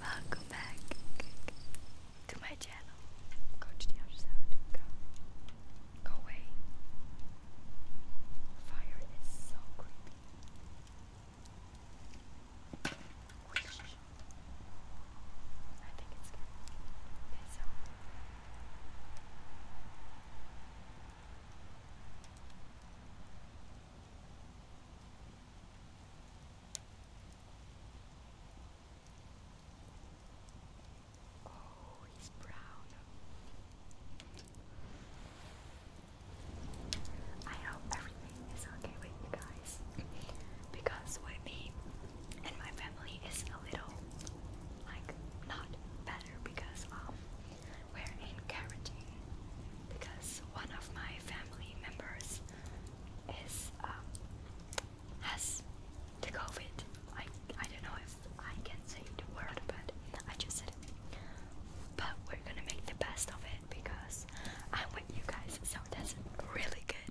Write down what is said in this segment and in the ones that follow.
Welcome back to my channel. Go to the other side. Go. Go away. Fire is so creepy. I think it's good. Okay, so. Oh, he's proud. I hope everything is okay with you guys guys, because Whitby and my family is a little like not better because um we're in quarantine because one of my family members is um, has the COVID. I I don't know if I can say the word, but I just said But we're gonna make the best of it because I'm with you guys, so that's really good.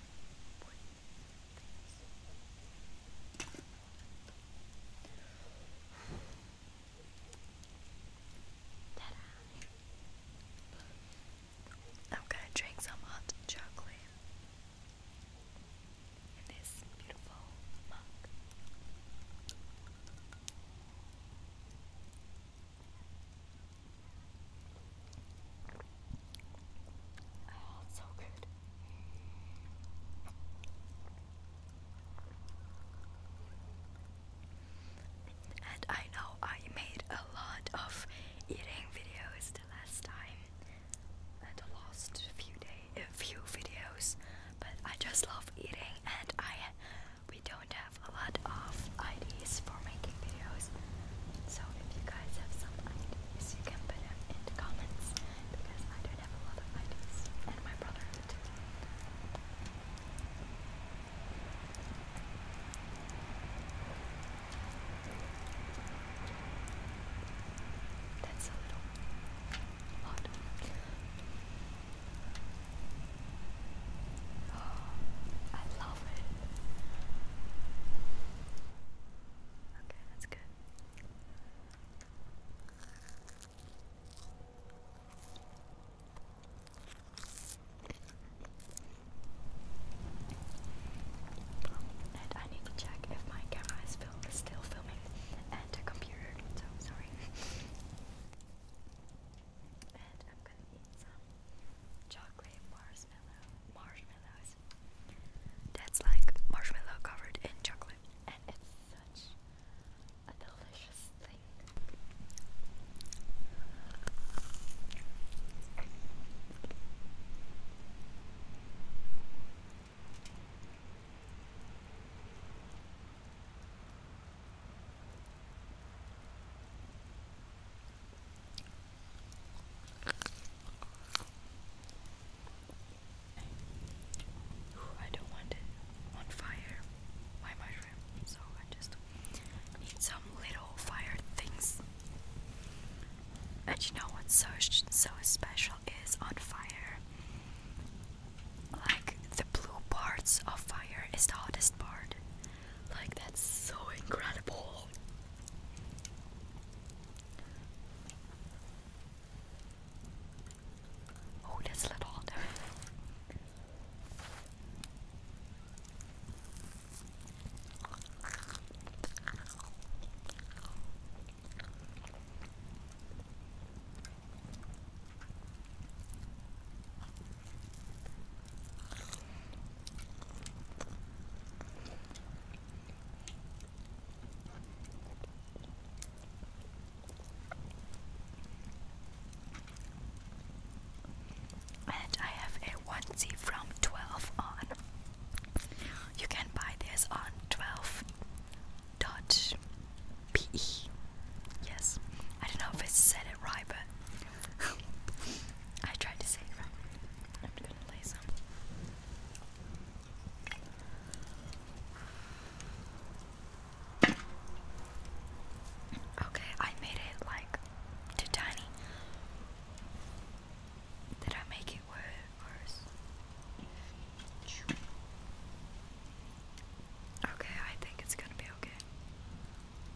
I'm gonna drink some hot chocolate in this beautiful mug so good. And I know I made a lot of eating videos the last time and the last few day a few videos but I just love eating and I we don't have a lot of ideas ideas for making videos. So if you guys have some ideas, you can put them in the comments because I don't have a lot of ideas, and my brother too. That's a little odd. Oh, I love it. Okay, that's good. And I need to check if my camera is, still filming and the computer, so sorry. and I'm gonna eat some chocolate bars marshmallow marshmallows. That's like marshmallow covered in chocolate, and it's such a delicious thing. I don't want it on fire, my mushroom, so I just need some little fire things. And you know what's so, so special is on fire? Like the blue parts of fire is the hottest part, like, that's so incredible. Oh, that's lit on. And I have a onesie from 12 on. You can buy this on 12.pe. Yes, I don't know if I said it right, but I tried to say it right. I'm gonna lay some. Okay, I made it like too tiny. Did I make it worse? Okay, I think it's gonna be okay.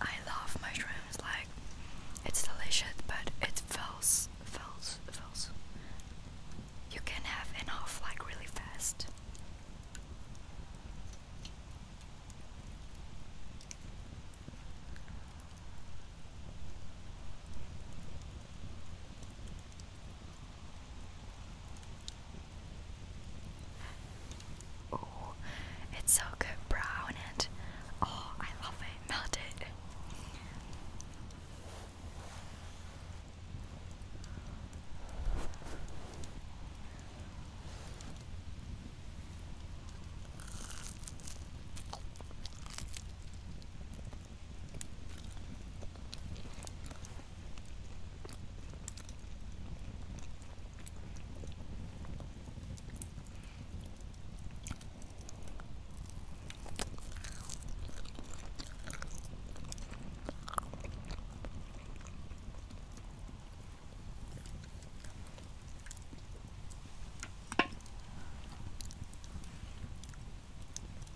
I love mushrooms, like it's delicious, but it fills, fills, fills. You can have enough, like really fast. Oh, it's so good brown and oh, I love it. Melted.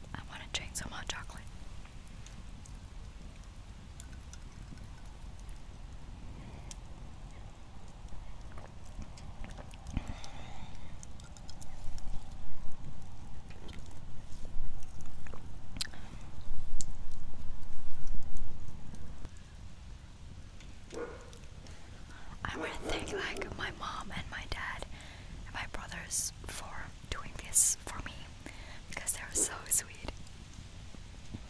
I want to drink some hot chocolate. I want to thank like my mom and my dad and my brothers for doing this for me because they're so sweet.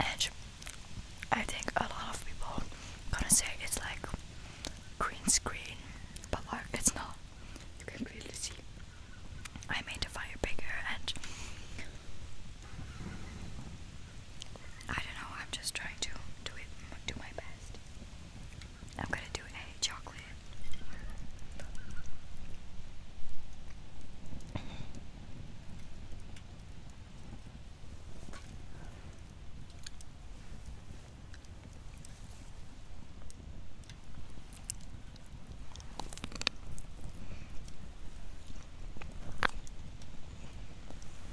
and I think a lot of people gonna say it's like green screen, but like it's not. You can clearly see. I made the fire bigger, and I don't know. I'm just trying to do it, do my best. I'm gonna do a chocolate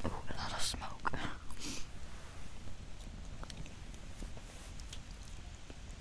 Ooh, a lot of smoke.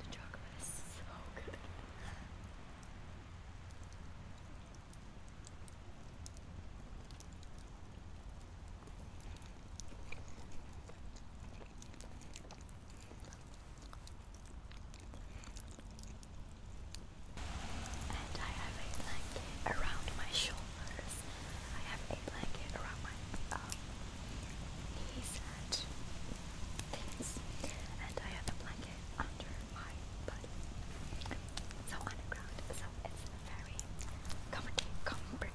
The chocolate is so good. And I have a blanket around my shoulders. I have a blanket around my um, knees and things. And I have a under my body. So on the ground. So it's very comfortable, comfortable,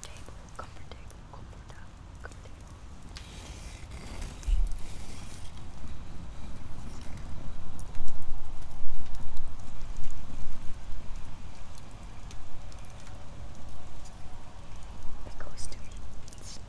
comfortable, comfortable, comfortable. It goes to me.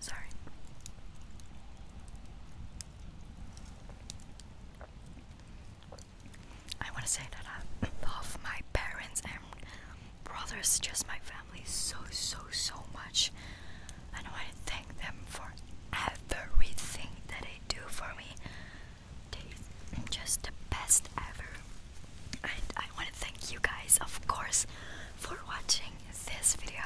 Sorry. I want to say that I love my parents and brothers, just my family, so, so, so much. And I want to thank them for everything that they do for me taste just the best ever. And I want to thank you guys, of course, for watching this video.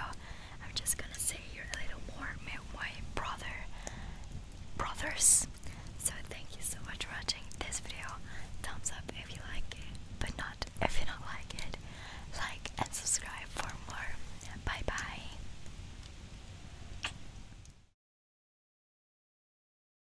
I'm just gonna say you're a little more my brother, brothers. So thank you so much for watching this video. Thumbs up if you like it, but not if you don't like it. Like and subscribe for more. Bye bye.